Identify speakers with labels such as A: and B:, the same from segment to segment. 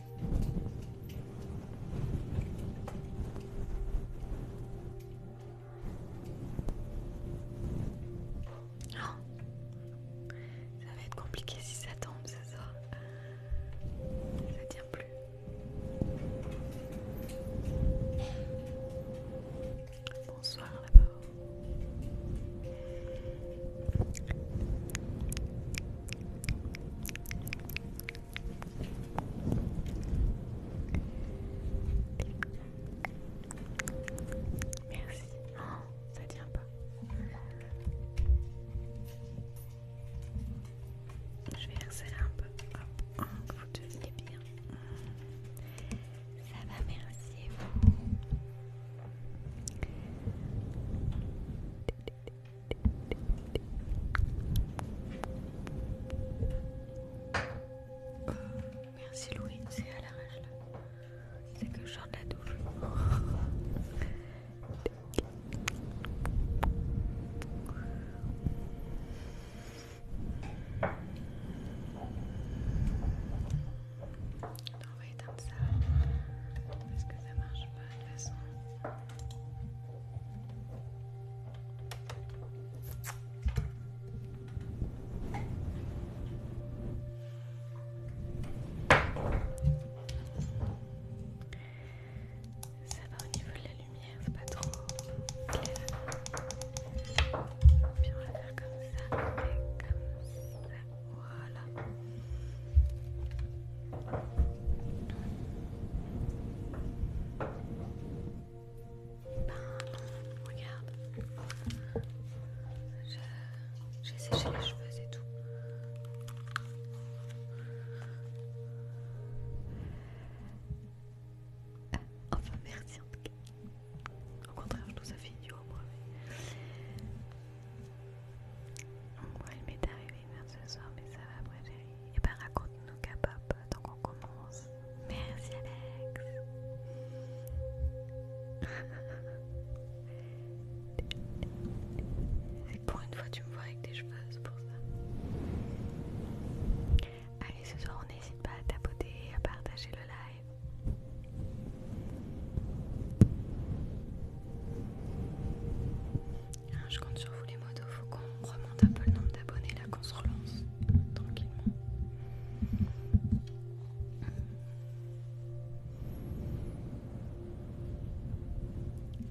A: Oh. Ça va être compliqué si ça tombe, c'est ça. Ça tient plus. Bonsoir d'abord. Merci. Oh, ça tient pas. Je vais resserrer un peu. Hop, oh, vous deveniez bien. Ça va, merci. Vous merci Louis, c'est à l'arrache là. C'est que je sors de la douche. On va éteindre ça parce que ça marche pas façon. Ça va au niveau de la lumière, c'est pas trop clair. Puis on va faire comme ça et comme ça. Voilà. Ben, regarde. J'ai séché les cheveux, c'est tout. Enfin, merci en tout cas. Au contraire, je trouve ça fait du moi. Donc, ouais, il m'est arrivé l'anniversaire ce soir, mais ça va, après Et eh ben raconte-nous K-pop tant qu'on commence. Merci Alex. C'est pour une fois tu me vois avec des cheveux, pour ça. Allez, ce soir on n'hésite pas à tapoter à partager le live je compte sur vous les mots, faut qu'on remonte un peu le nombre d'abonnés là, qu'on se relance tranquillement.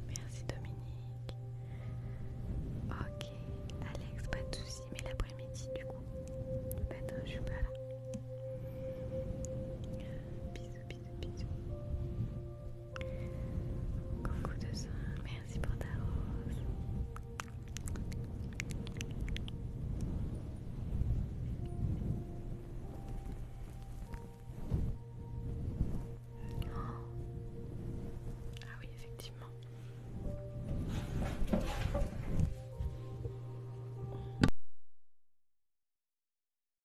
A: Merci Dominique. Ok, Alex, pas de soucis, mais l'après-midi du coup. Bah non, je suis pas là. Bisous, bisous, bisous. Coucou de soin, merci pour ta
B: rose. Ah oui, effectivement.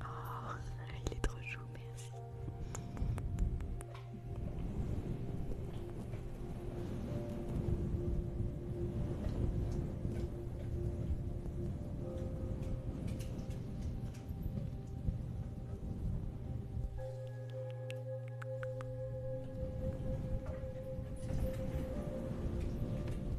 A: Oh, il est trop chou, merci.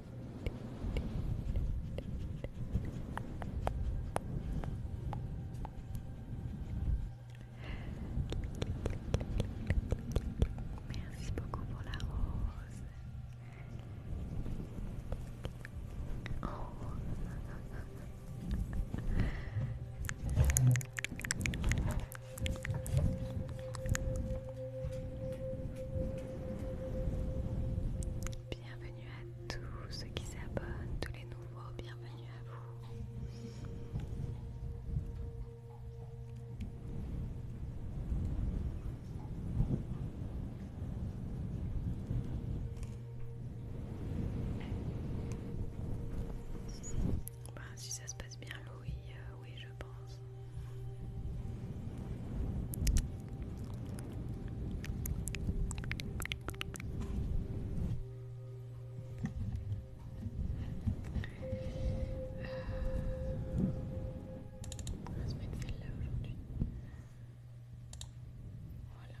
A: Merci beaucoup pour la rose. Oh. Bienvenue à tous ceux qui s'abonnent, tous les nouveaux, bienvenue à vous. Ben, si ça se passe bien, Louis, euh, oui, je pense. On va se celle-là aujourd'hui. Voilà,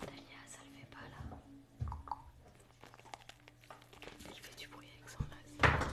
A: Talia, ça le fait pas là. Il fait du bruit avec son masque.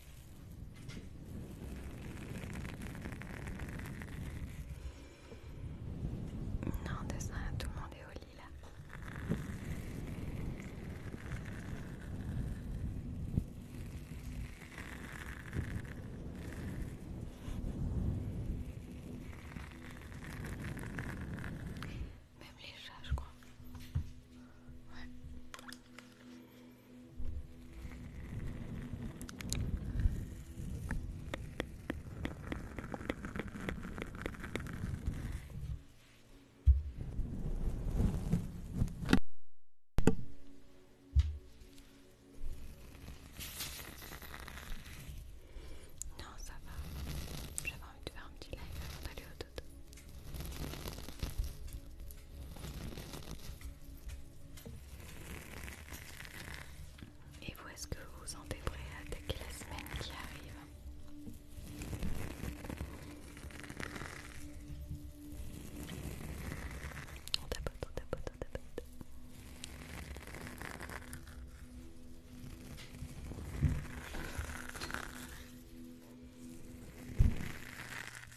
A: Non, de ça, tout le monde est au lit là. Même les chats, je crois. Ouais. Non, ça va. J'avais envie de faire un petit live avant d'aller au et vous, est-ce que vous vous sentez prêt à attaquer la semaine qui arrive On tapote, on tapote, on tapote.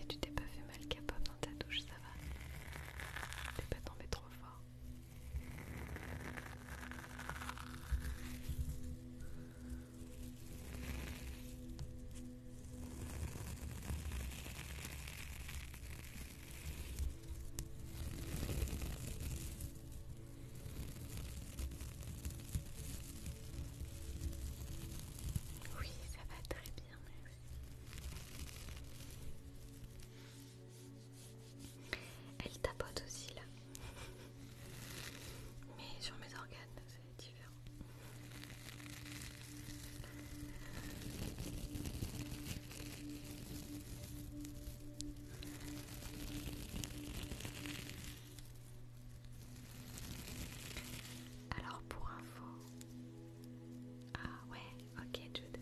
A: Et tu t'es pas fait mal capable dans ta douche, ça va T'es pas tombé trop fort oui, ça va très bien, merci. Elle tapote aussi là. Mais sur mes organes, c'est différent. Alors pour info. Ah ouais, ok Jude.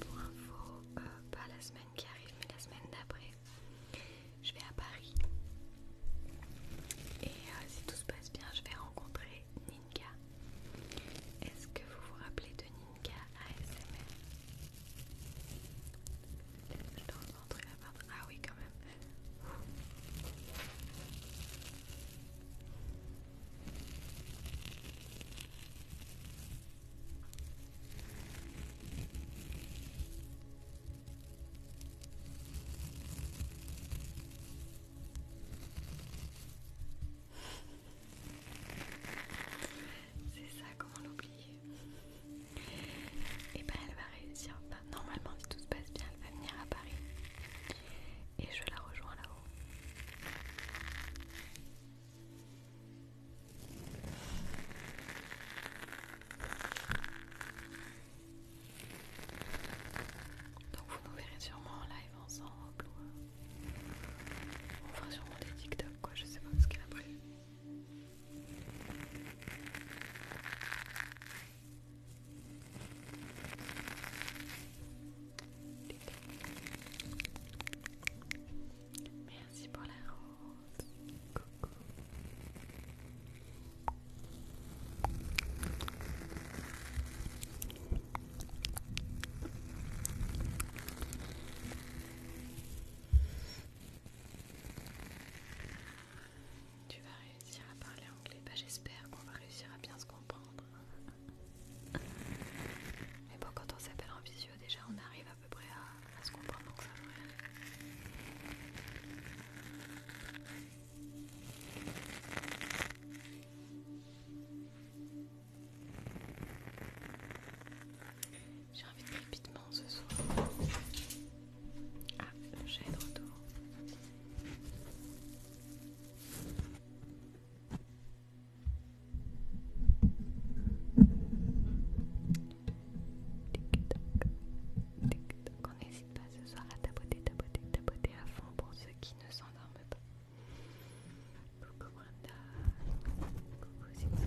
A: Pour info, euh, pas la semaine qui arrive mais la semaine d'après. Je vais à Paris. Et euh, si tout se passe bien, je vais rencontrer Ninka. Est-ce que vous vous rappelez de Ninka ASMR la Ah oui, quand même. C'est ça, comment l'oublier Et eh ben elle va réussir bah, normalement, si tout se passe bien, elle va venir à Paris et je la rejoins là-haut. Donc vous nous verrez sûrement en live ensemble ou hein. on sûrement des TikTok quoi, je sais pas ce qu'elle a prévu. Merci pour la route Coucou. Tu vas réussir à parler anglais. Bah, j'espère qu'on va réussir à bien se comprendre. Mais bon, quand on s'appelle en visio, déjà on arrive à peu près à, se comprendre. ça J'ai envie de rapidement ce soir. Ah, le chat est de retour. Tic-tac, on n'hésite pas ce soir à tapoter, tapoter, tapoter à fond pour ceux qui ne s'endorment pas. Coucou Brenda, coucou Zito.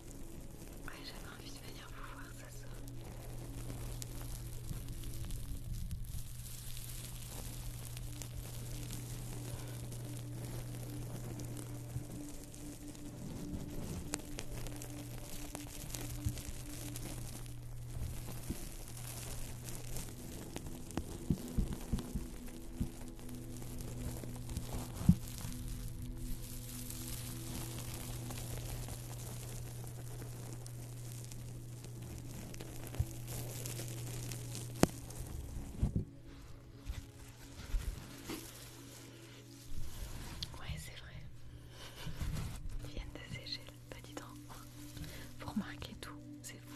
A: j'avais envie de venir vous voir ce soir. Ouais, c'est vrai. Ils viennent de sécher, le petit temps. Vous remarquez tout, c'est fou.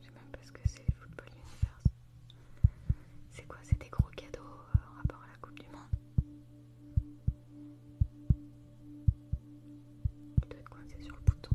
A: Je sais même pas ce que c'est le football univers. C'est quoi C'est des gros cadeaux euh, en rapport à la Coupe du Monde Il doit être coincé sur le bouton.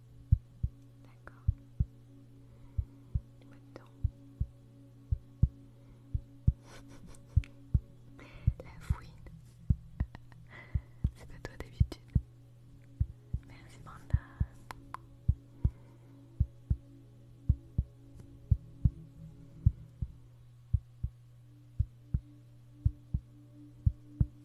A: D'accord. Maintenant. La fouine. C'est pas toi d'habitude. Merci Brenda.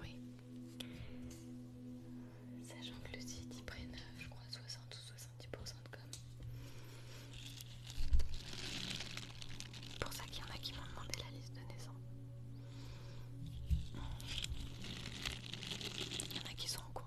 A: Oui. Sachant que le site y prenne euh, je crois, 60 ou 70% de com. C'est pour ça qu'il y en a qui m'ont demandé la liste de naissance. Il y en a qui sont en cours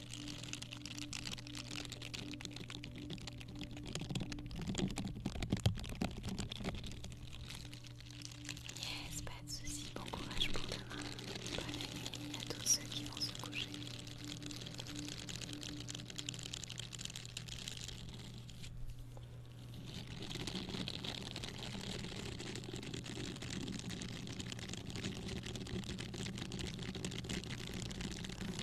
A: Yes, pas de soucis, bon courage pour demain. Bonne à tous ceux qui vont se coucher.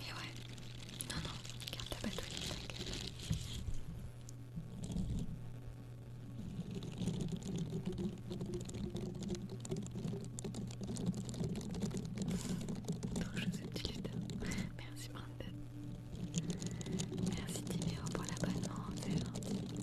A: Et ouais, non, non, garde ta batterie, t'inquiète. Trop chaud ce petit lutin. Merci Brandon. Merci Timéo pour l'abonnement, c'est gentil.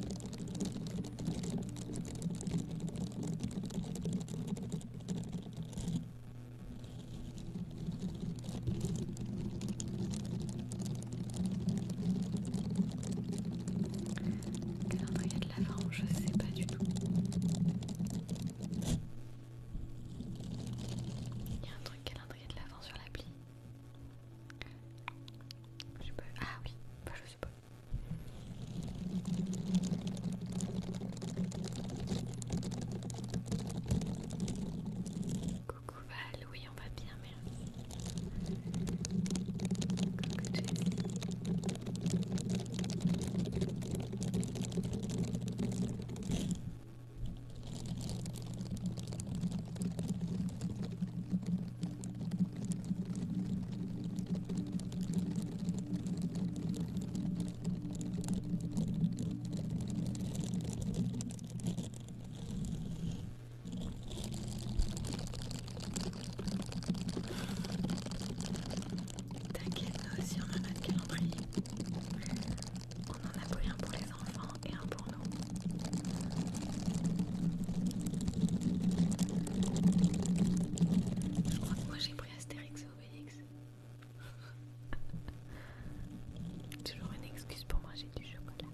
A: Calendrier de l'avant, je sais pas du tout. Il y a un truc calendrier de l'avant sur l'appli. Je sais pas. Ah oui, bah, je sais pas. Coucou Val, oui on va bien merci. Coucou Jessie. T'inquiète, nous aussi on a notre calendrier. On en a pris un pour les enfants et un pour nous. Je crois que moi j'ai pris Astérix et Obélix. Toujours une excuse pour manger du chocolat.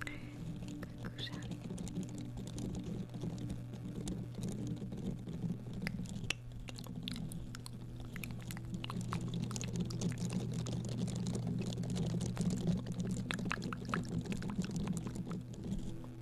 A: Coucou Charlie.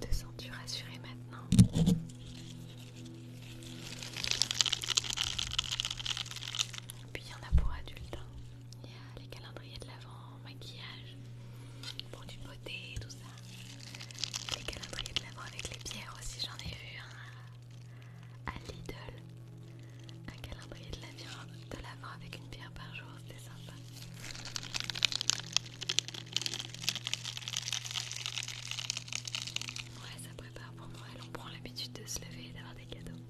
A: Te sens-tu rassurée maintenant puis il y en a pour adultes. Hein. Il y a les calendriers de l'avant, maquillage, pour du beauté, tout ça. Les calendriers de l'avant avec les pierres aussi, j'en ai vu un à Lidl. Un calendrier de l'avant de avec une pierre par jour, c'était sympa. Ouais, ça prépare pour Noël, on prend l'habitude de se lever et d'avoir des cadeaux.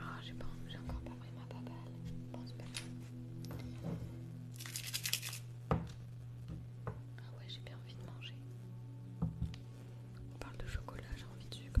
A: Ah j'ai pas, j'ai encore pas pris ma papelle. Ah ouais, j'ai bien envie de manger. On parle de chocolat, j'ai envie de sucre.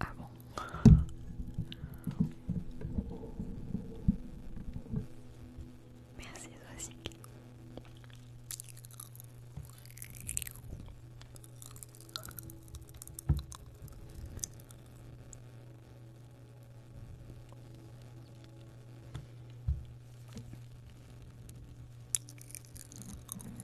A: Ah bon Merci Zoasic.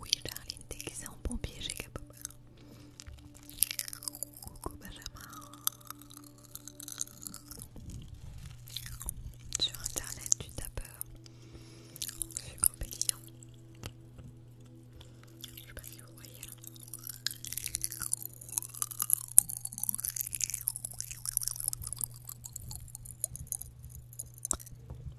A: Oui, qui déguisée en pompier chez Capobar. Coucou Benjamin. Sur internet, tu tapes Fumeur pétillant. Je sais pas si vous voyez là.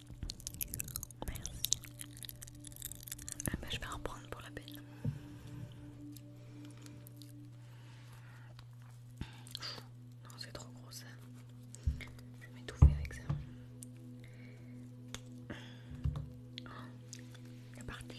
A: Merci. Ah, bah, je vais en reprendre pour la peine. Non c'est trop gros ça. Je vais m'étouffer avec ça. Oh, c'est parti.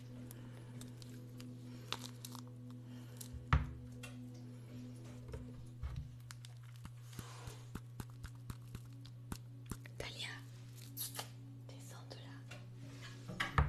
A: Talia, descends de là. Allez.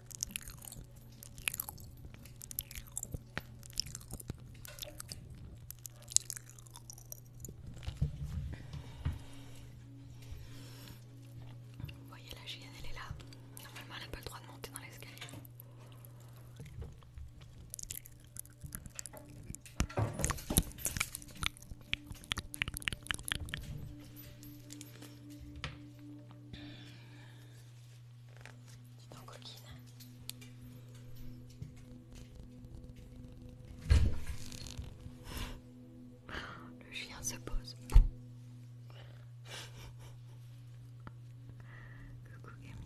A: Vous voyez la gêne, elle est là. Normalement, elle n'a pas le droit de monter dans l'escalier. Dis donc, coquine. Hein. Le chien se pose. Coucou Camille.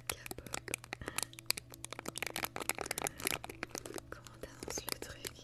A: k Comment t'annonces le truc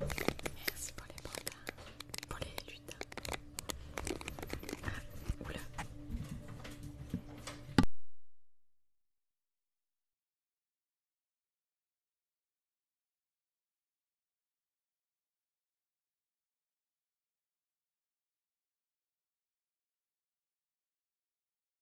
A: Merci pour les pandas, pour les lutins. Ah, oula.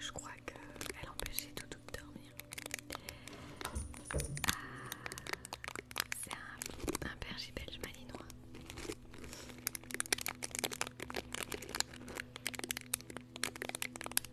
A: Je crois qu'elle empêchait tout de dormir. Ah, C'est un berger belge malinois.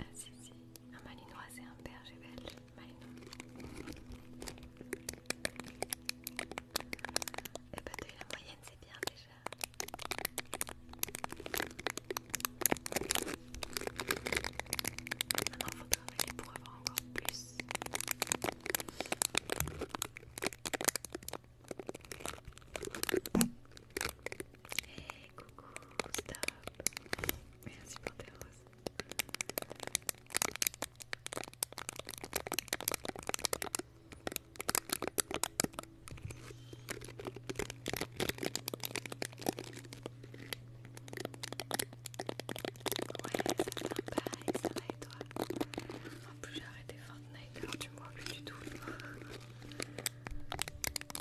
A: Ah si si, un malinois et un berger belge, malinois. Et eh bah ben, de la moyenne c'est bien déjà. Maintenant il faut travailler pour avoir encore plus. Hey, coucou, stop. Merci pour tes roses. Ouais, ça va pas, ça va et toi En plus j'ai arrêté Fortnite alors tu me vois plus du tout.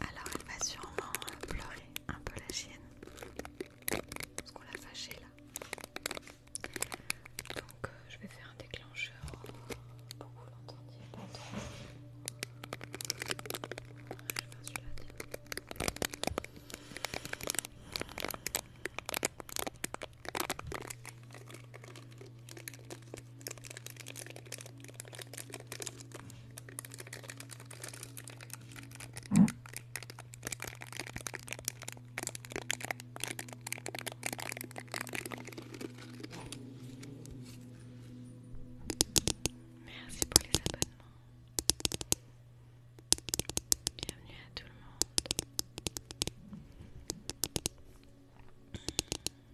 A: Alors elle va sûrement euh, pleurer un peu la chienne. Parce qu'on l'a fâchée là. Donc euh, je vais faire un déclencheur pour vous l'entendiez Merci pour les abonnements. Bienvenue à tout le monde.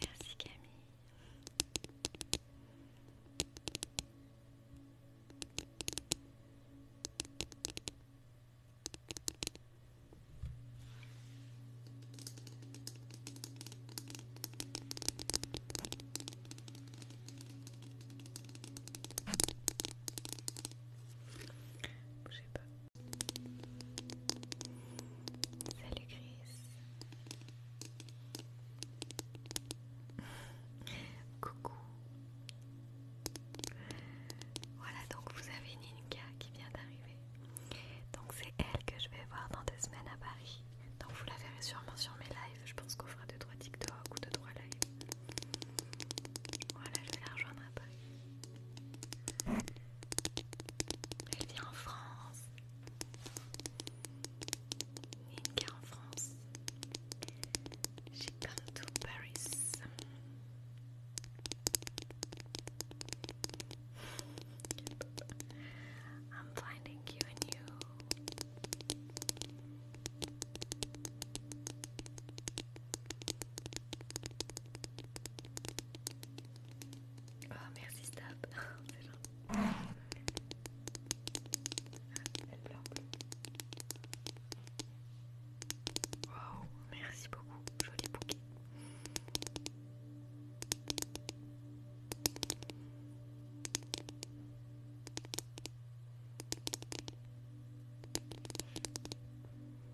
A: Merci Camille. Bougez pas. Salut Chris. Coucou. Voilà, donc vous avez Ninka qui vient d'arriver. Donc c'est elle que je vais voir dans deux semaines à Paris. Donc vous la verrez sûrement sur mes lives. Je pense qu'on fera 2-3 TikTok ou deux trois lives.
B: Voilà, je vais la rejoindre à Paris. Elle vit en France. Une en France. She come to Paris.
A: I'm finding you and you. Oh merci Stab, c'est gentil. Ah, elle pleure Wow, merci beaucoup, joli bouquet.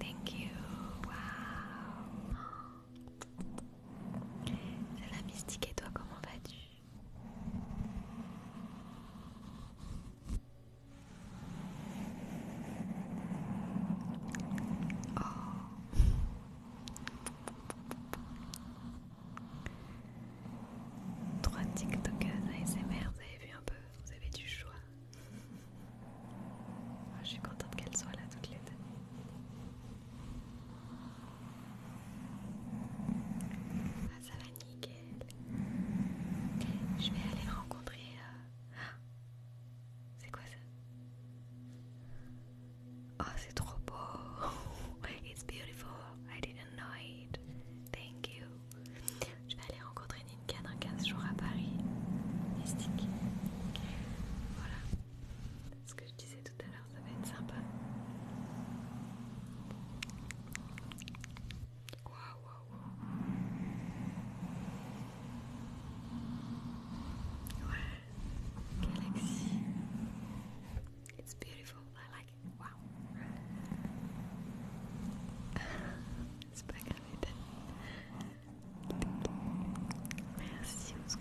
A: Thank you. Wow. C'est la mystique et toi comment vas-tu Oh. Trois TikTokers ASMR, vous avez vu un peu Vous avez du choix. Ah, je suis contente qu'elle soit là toutes les deux. Ah, ça va nickel. Je vais aller rencontrer. Euh, c'est quoi ça Oh, c'est trop beau. It's beautiful. I didn't know it. Thank you. Je vais aller rencontrer Ninka dans 15 jours à Paris. Mystique. Voilà. Ce que je disais tout à l'heure, ça va être sympa. Wow wow galaxy. It's beautiful. I like it. Wow. it's pas grave. Merci au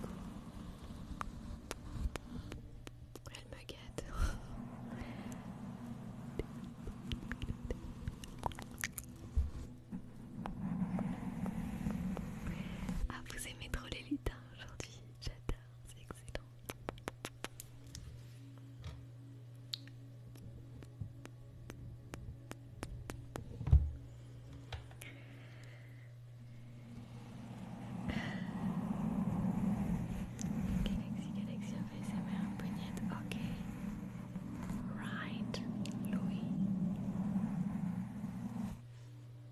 A: Elle me gâte. Ah, vous aimez trop les lutins aujourd'hui. J'adore, c'est excellent. Galaxy, Galaxy of ASMR, poignet, ok. Right, Louis.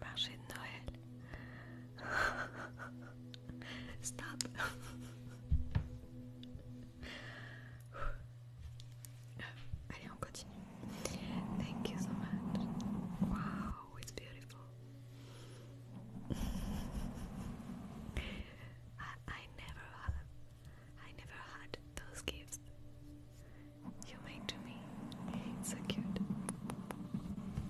A: marché de Noël. Stop. Allez, on continue. Thank you so much. Wow, it's beautiful. I, never I never had those gifts you made to me. so cute.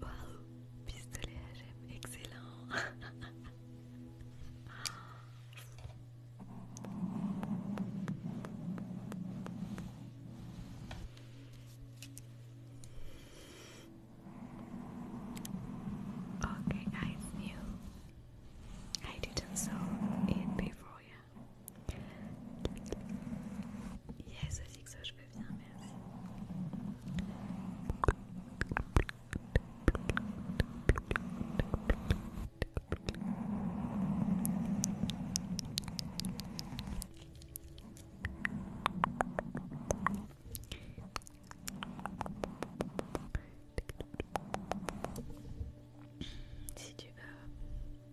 A: Waouh, pistolet HM, excellent. okay, I knew I didn't saw it before, yeah. Yes, aussi que ça, je veux bien, merci. Si tu veux,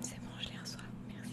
A: C'est bon, je l'ai reçois, merci.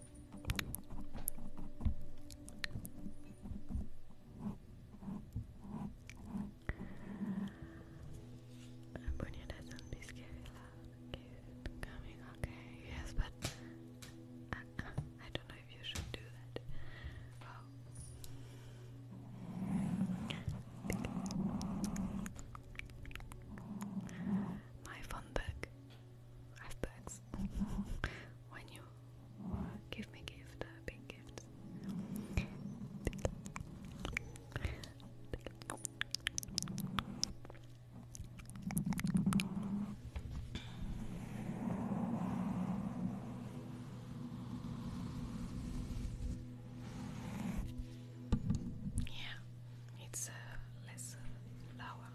A: Brunia doesn't be scary loud. coming, okay? Yes, but uh, I, don't know if you should do that. My phone bag. I have bags gifts when you give me gift, uh, big gifts. Yeah, it's uh, less flour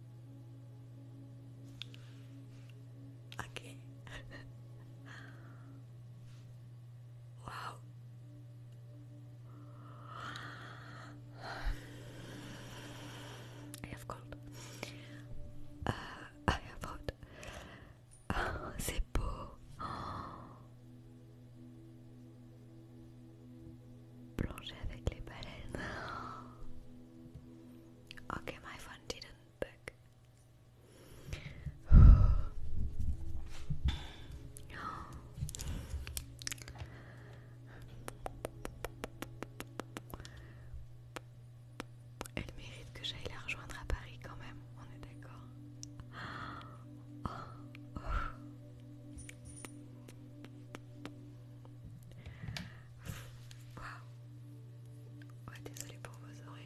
A: Okay. wow. I have cold. Uh, I have hot. Oh, uh, c'est beau. Oh. Plonger avec Ok, my phone didn't bug. Elle mérite que j'aille la rejoindre à Paris quand même, on est d'accord. Waouh. Ouais, désolé pour vos oreilles.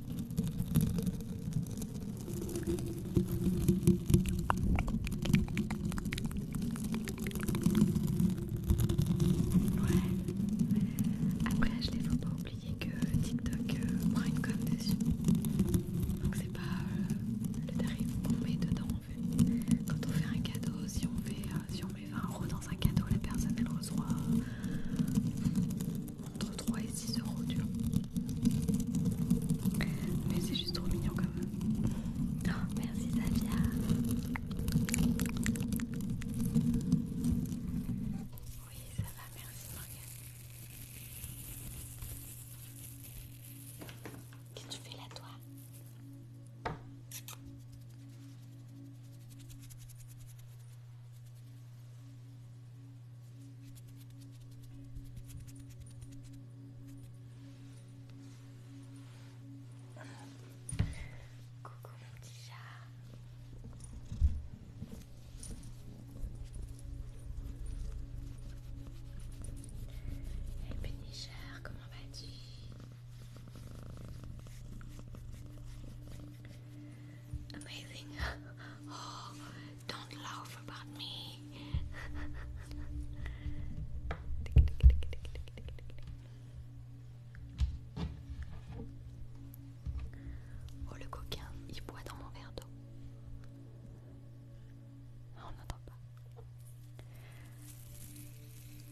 A: Après, je ne faut pas oublier que TikTok euh, prend une conne dessus. Donc, c'est pas euh, le tarif qu'on met dedans en fait. Quand on fait un cadeau, si on, euh, si met 20 euros dans un cadeau, la personne elle reçoit entre 3 et 6 euros, tu Mais c'est juste trop mignon quand même. Oh, merci Xavier Oui, ça va, merci Morgane. Qu'est-ce que tu fais là, toi Coucou mon petit chat. Hey Pénicheur, comment vas-tu amazing. Oh, don't laugh about me. Oh, le coquin, il boit dans mon verre d'eau. on n'entend pas.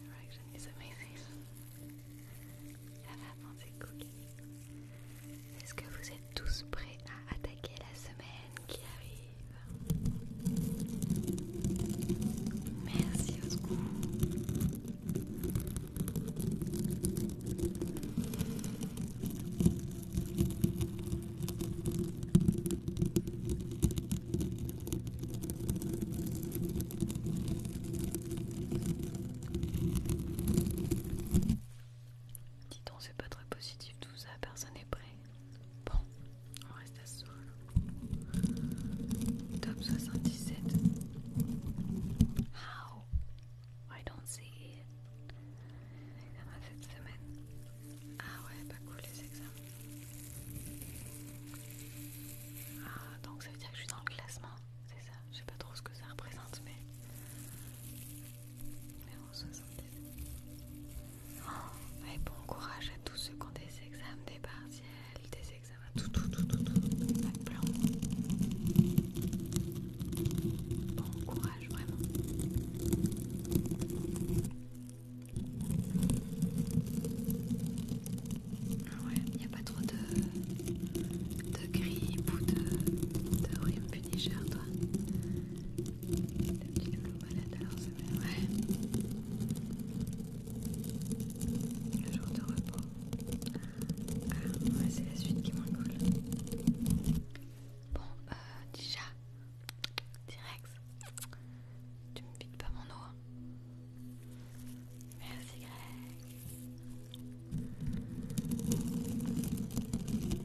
A: Direction is amazing. Elle a pensé cookie. Est-ce que vous tous prêts à attaquer la semaine qui arrive. Merci au Dis donc, c'est pas très positif tout ça, personne n'est prêt. Bon, on reste à ce soir. Top 77. How? I don't see it. cette semaine. Ah ouais, pas cool les examens. Ah, donc ça veut dire que je suis dans le classement, c'est ça? Je sais pas trop ce que ça représente, mais. Oh, bon courage à tous ceux qui ont des examens, des partiels, des examens, tout, tout, tout, tout, tout, Bon courage, vraiment. Ah ouais, il n'y a pas trop de, de grippe ou de, de rime punisher, toi un petit alors alors c'est vrai. Le jour de repos. ouais, c'est la suite qui est moins cool. Bon, euh, chat, dis rex tu me piques pas mon eau Merci Rex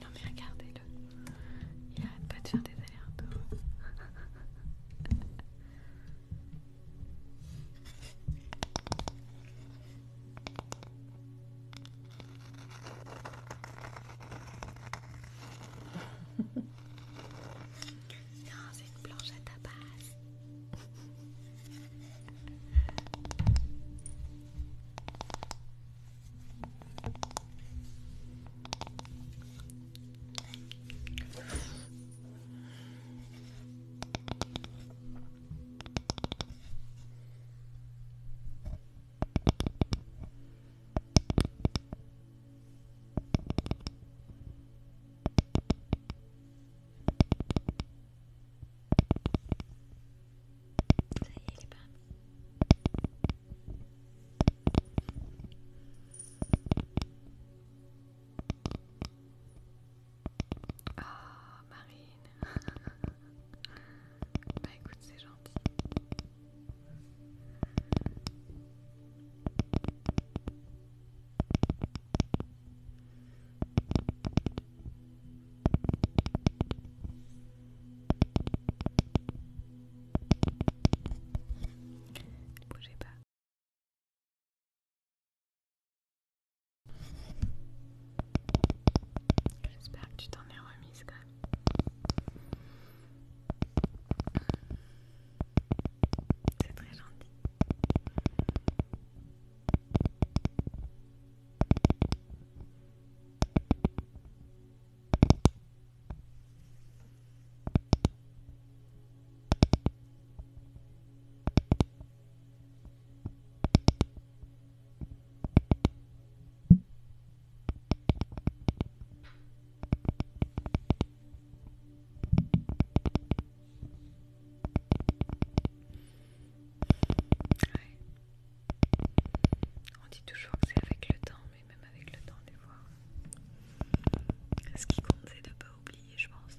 A: Non mais regardez-le, il arrête pas de faire des allers-retours. Non, c'est une planche à tapas. Ça y est, il est pas. Oh, ah, Marine. bah écoute, c'est gentil. Ne bougez pas. J'espère que tu t'en es remise quand même. C'est très gentil. On dit toujours que c'est avec le temps, mais même avec le temps, des fois, ce qui compte, c'est de ne pas oublier, je pense.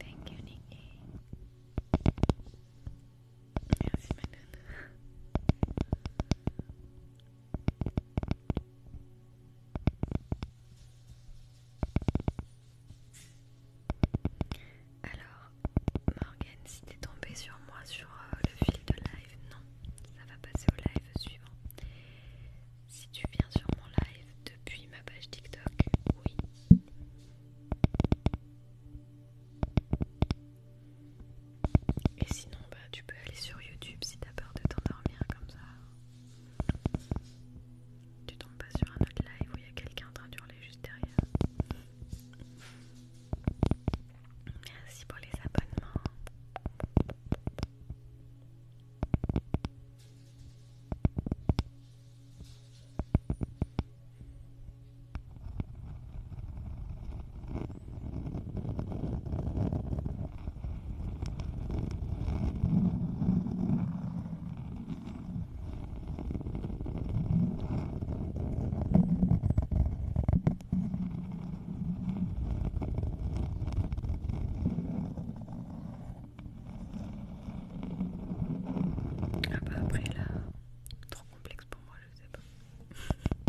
A: Thank you, Nikki. Yes, my Alors, Morgan, si t'es tombé sur moi sur euh, le fil de live, non, ça va passer au live suivant. Si tu viens sur mon live depuis ma page TikTok, oui. Et sinon, bah, tu peux aller sur YouTube si t'as peur de t'endormir comme ça. Tu tombes pas sur un autre live où il y a quelqu'un en train d'hurler juste derrière. Merci pour les abonnements. Ah bah après là, trop complexe pour moi, je sais pas.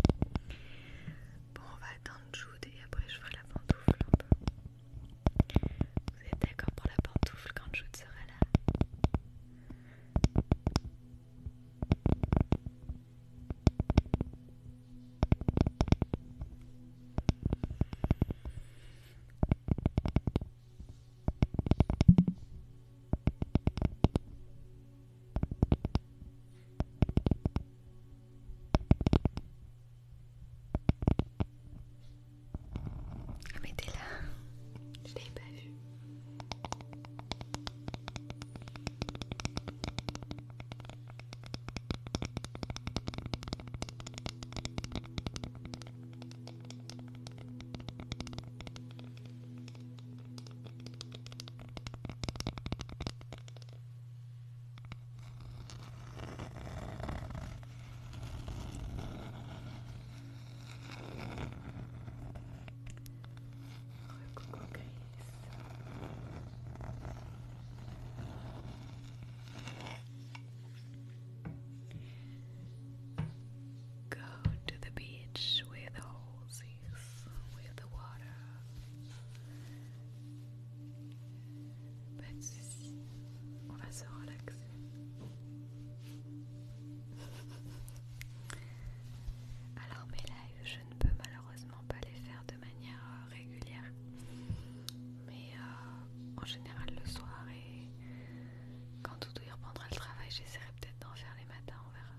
A: bon, on va attendre Jude et après je ferai la pantoufle un vous êtes d'accord pour la pantoufle quand je serai là ah mais t'es là, je n'ai pas vu. Go to the beach with the horses, with the water. on va se relaxer. Alors mes lives, je ne peux malheureusement pas les faire de manière euh, régulière. Mais euh, en général le soir et quand tout y reprendra le travail, j'essaierai peut-être d'en faire les matins, on verra.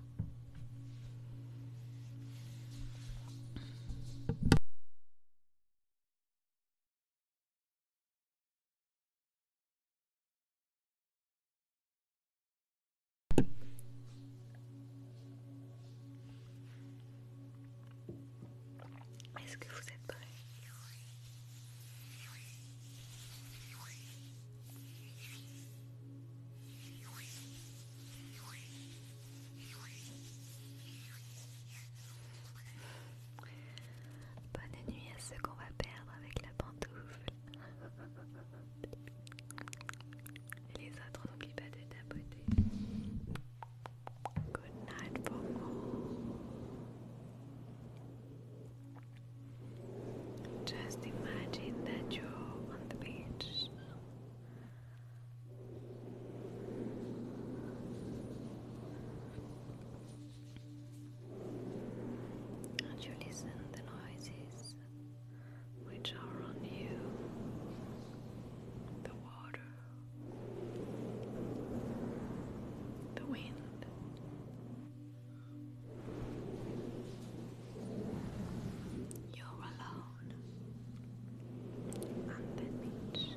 B: Est-ce que vous êtes prêts Bonne nuit à ceux qu'on va perdre avec la pantoufle. les autres, n'oublie
A: pas de tapoter. Good night for all. Just imagine that you're on the beach. And you listen the noises which are on you, the water, the wind. You're alone on the beach.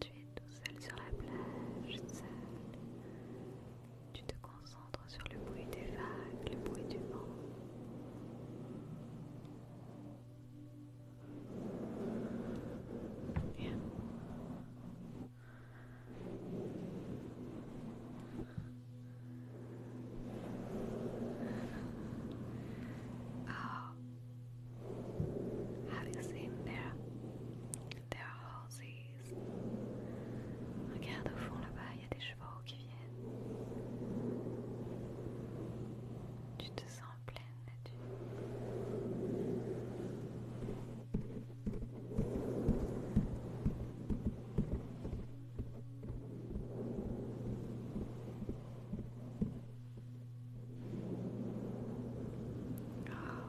A: tu es tout seul sur la plage, seul. Tu te concentres sur le bruit des vagues, le bruit du vent. Ah having seen their, their horses. Regarde au fond là-bas, il y a des chevaux qui viennent. Tu te sens pleine tu... Oh, ah.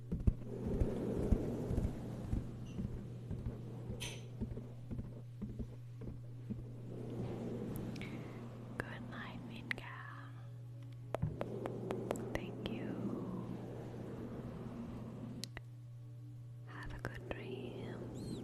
A: Good night, Minka. Thank you. Have a good dreams.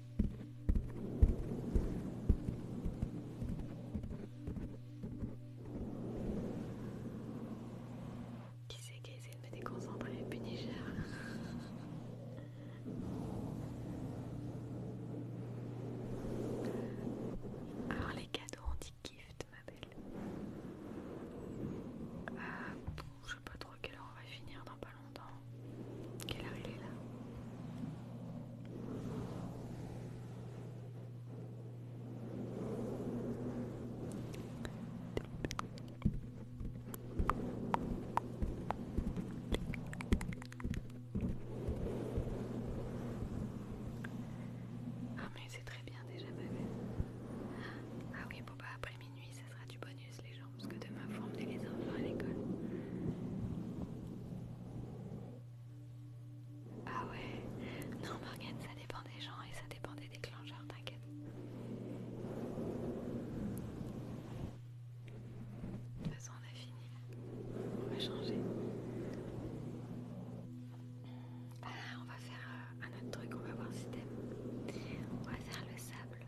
A: Qui c'est qui a essayé de me déconcentrer Punisher Alors les cadeaux on dit gift ma belle. Euh, je quelle heure on va finir dans pas longtemps. Quelle heure il est là ah mais c'est très bien déjà belle. Ah oui, bon bah après minuit, ça sera du bonus les gens. Parce que demain, vous emmenez les enfants à l'école. Ah ouais, non Morgane, ça dépend des gens et ça dépend des déclencheurs, t'inquiète. De toute façon, on a fini. On va changer. Ah, on va faire euh, un autre truc, on va voir si t'aimes. On va faire le sable.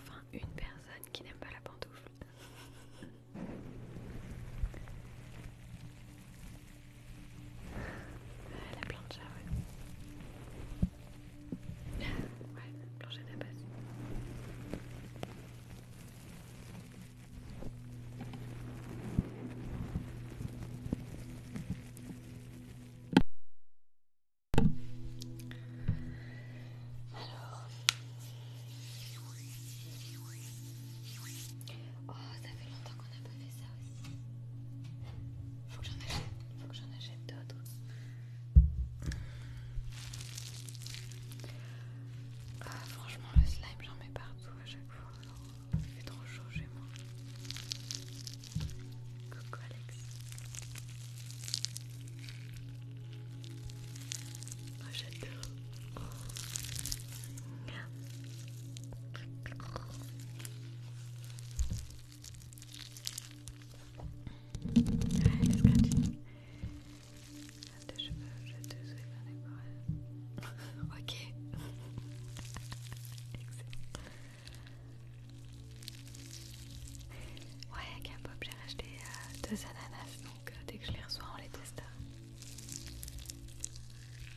A: Enfin, une personne qui n'aime pas la pantoufle. Euh, la plancha, ouais. Ouais, la plancha de la base. Alors, oh, ça fait longtemps fait ça aussi. Faut que j'en achète, faut d'autres. Ah, franchement, le slime, j'en mets partout à chaque fois. Il fait trop chaud chez moi. Coucou Alex. Oh, j'adore. Allez, let's continue. Tes cheveux, j'ai je te souhaite un épaule. ok. Excellent. Ouais, avec un pop, j'ai racheté euh, deux ananas, donc euh, dès que je les reçois, on les teste.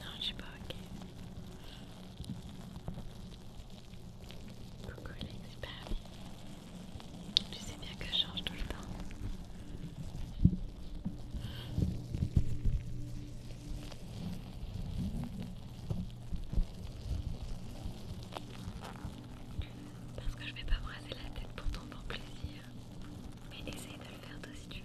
A: Non, je suis pas ok. Coucou l'expert. Tu sais bien que je change tout le temps. Parce que je vais pas me la tête pour ton bon plaisir. Mais essaye de le faire toi si tu veux.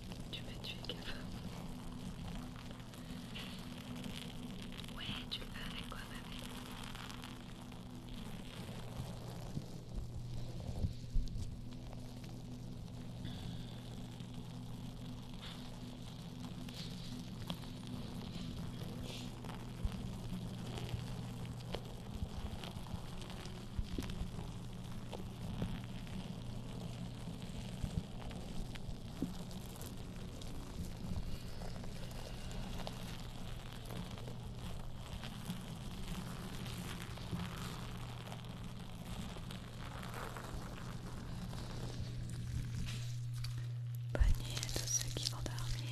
A: Tu m'as tué, gamin. Ouais, tu le fais avec quoi, ma belle Bonne nuit à tous ceux qui vont dormir.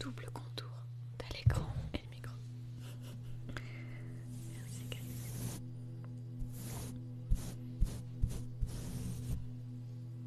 A: Double contour d'aller et micro.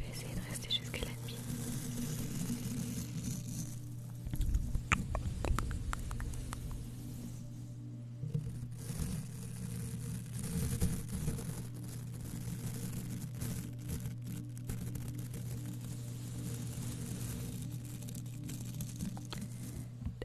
A: Je essayer de rester jusqu'à la nuit.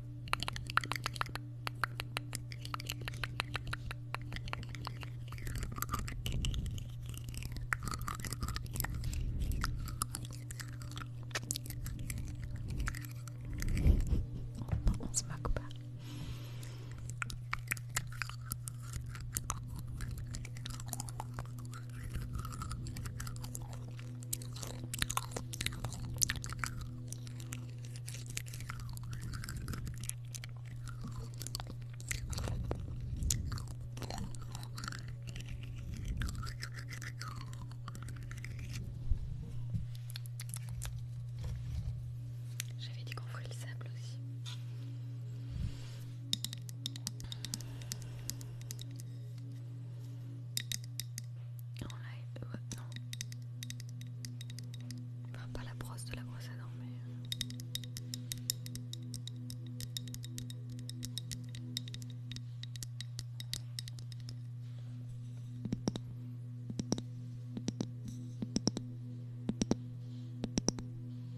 A: On, on se moque pas. J'avais dit qu'on ferait le sable aussi. En live, euh, non. pas la brosse de la brosse à mais. Euh.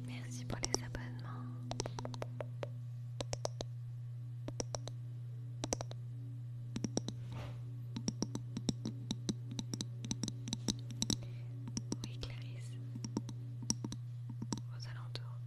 A: Merci pour les abonnements. Oui, Clarisse. Aux alentours.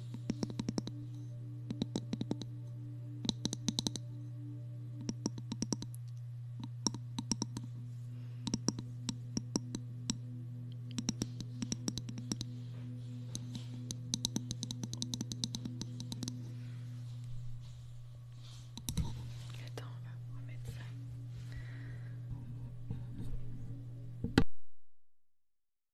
A: Attends, on va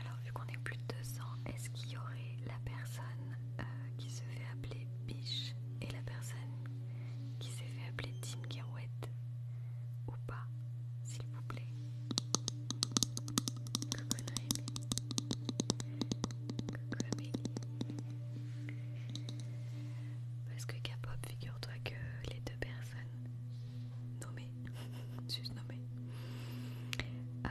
A: Alors, vu qu'on est plus de 200, est-ce qu'il y aurait la personne euh, qui se fait appeler Biche et la personne qui s'est fait appeler Tinkerouette ou pas, s'il vous plaît Coucou Coucou Amélie. Parce que K-pop, figure-toi que les deux personnes nommées, juste nommées, euh,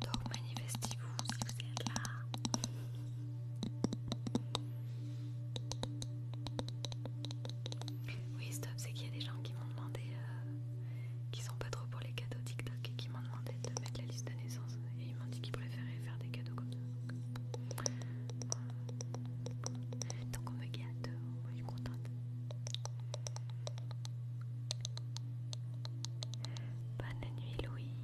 A: Donc manifestez-vous si vous êtes là. Oui, stop, c'est qu'il y a des gens qui m'ont demandé, euh, qui sont pas trop pour les cadeaux TikTok et qui m'ont demandé de mettre la liste de naissance et ils m'ont dit qu'ils préféraient faire des cadeaux comme ça. Donc, on me gâte, je suis contente. Bonne nuit Louis.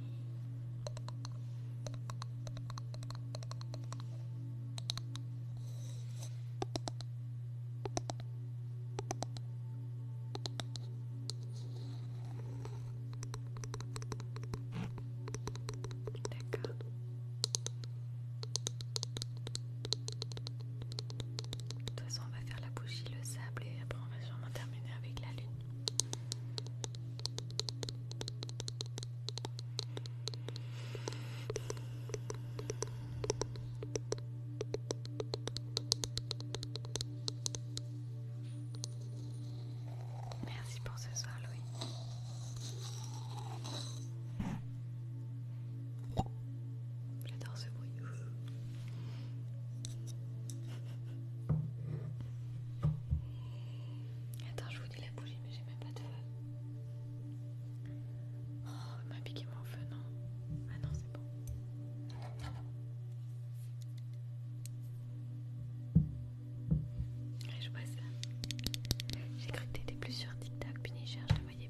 A: D'accord. De toute façon, on va faire la bougie, le sable et après on va sûrement terminer avec la lune. Merci pour ce soir, Louis. J'adore ce bruit. Attends, je vous dis la bougie, mais j'ai même pas de feu. Oh, il m'a piqué mon feu, non Ah non, c'est bon. Allez, je vois ça. J'ai cru que t'étais plus sur TikTok, puis je te voyais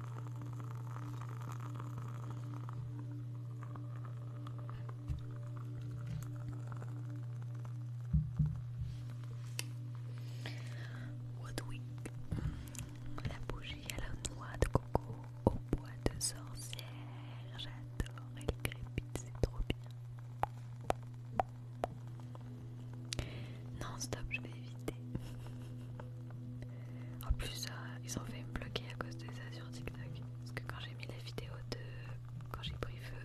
A: la bougie à la noix de coco au bois de sorcière, j'adore, elle crépite, c'est trop bien. Non, stop, je vais éviter. En plus, euh, ils ont fait me bloquer à cause de ça sur TikTok. Parce que quand j'ai mis la vidéo de. quand j'ai pris feu,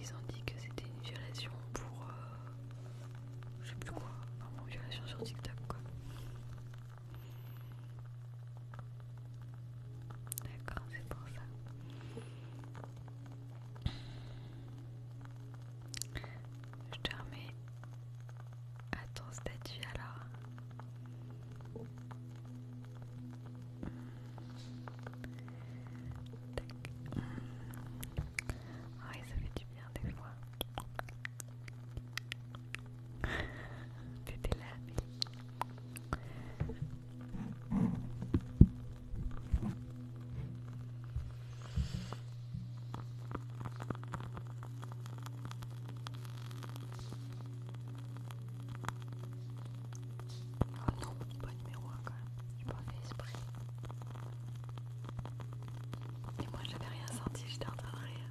A: ils ont dit que c'était une violation pour. Euh, je sais plus quoi. Vraiment, violation sur TikTok quoi. D'accord, c'est pour ça. Je te remets à ton statut alors. Ah oui, ça fait du bien des fois. T'étais là, Oh non, pas numéro 1 quand même, j'ai pas fait esprit. Et moi j'avais rien senti, j'étais en train de rire.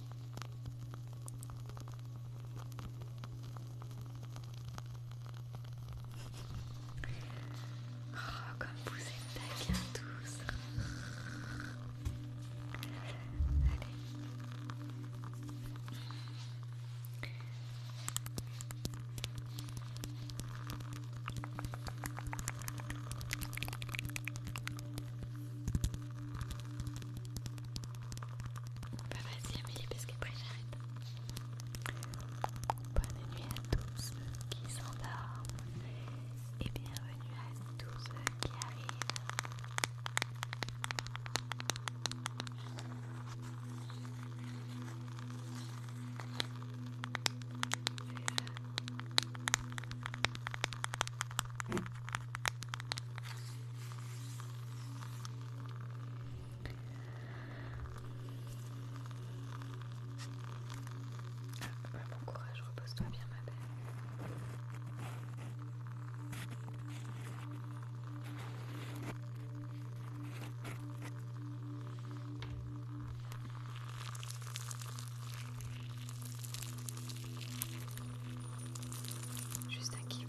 A: Oh, comme vous êtes tous. Bah vas-y Amélie parce que après j'arrête. Bonne nuit à tous ceux qui s'endorment et bienvenue à tous ceux qui arrivent. Ah, bon courage, repose-toi bien ma belle. Juste un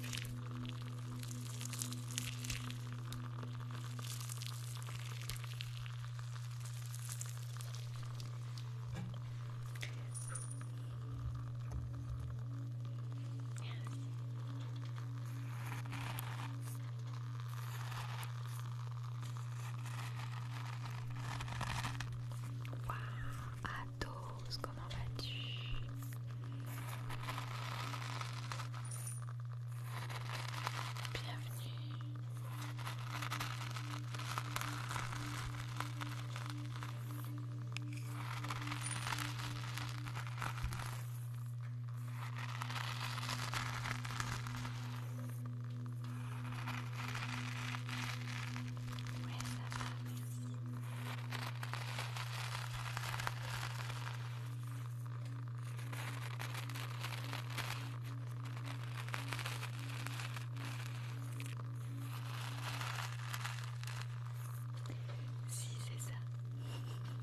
A: Athos, comment vas-tu Bienvenue. Si c'est ça. Salut Alex.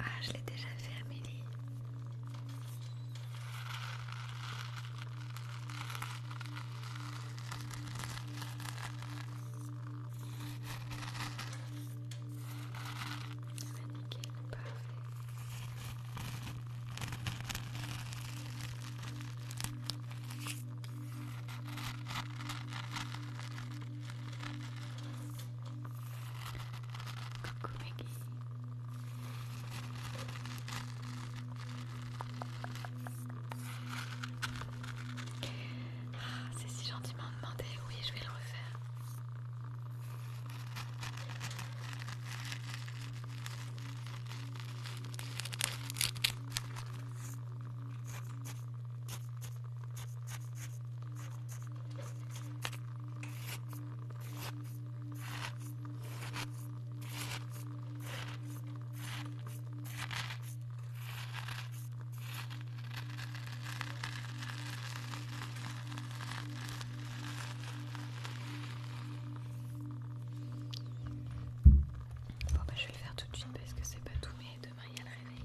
A: Ah, je l'ai déjà fait, Amélie. Ah, nickel, parfait. Ah, c'est si gentiment demandé, oui, je vais le refaire. Bah, je vais le faire tout de suite parce que c'est pas tout mais demain il y a le réveil.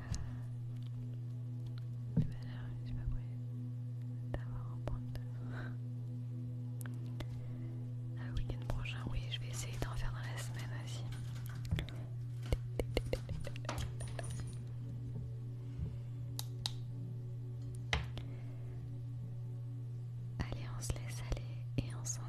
A: je sais pas quoi. d'avoir un point de... Le week-end prochain, oui, je vais essayer d'en faire dans la semaine aussi. Allez, on se laisse aller et on va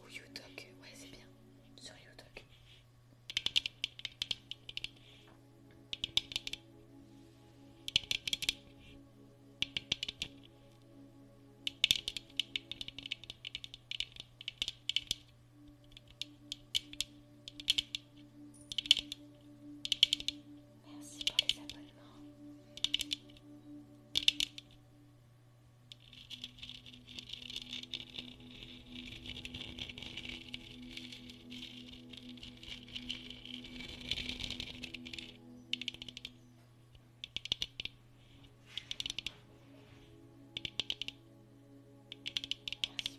A: Ou Youtube, ouais c'est bien, sur Youtube. Merci pour les abonnements. Merci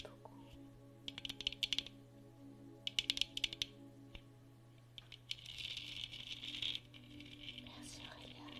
A: beaucoup. Merci Aurélia.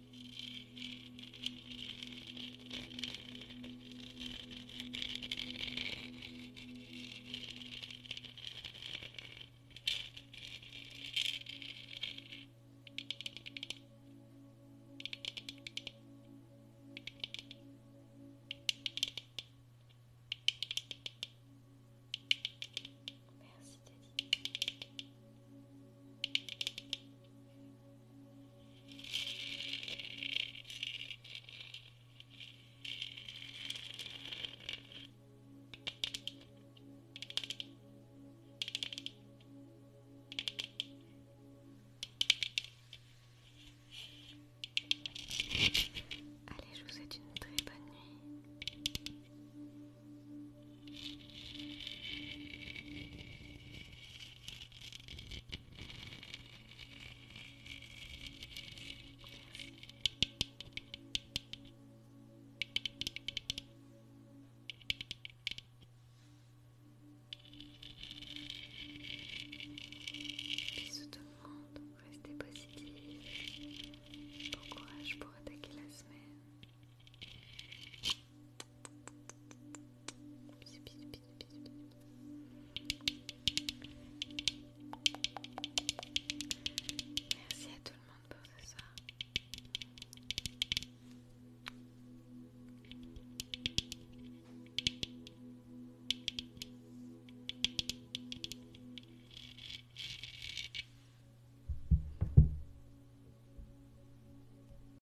A: Merci Teddy. Allez, je vous souhaite une très bonne nuit. Bisous de le restez positifs. Bon courage pour attaquer la semaine. Merci à tout le monde pour ce soir.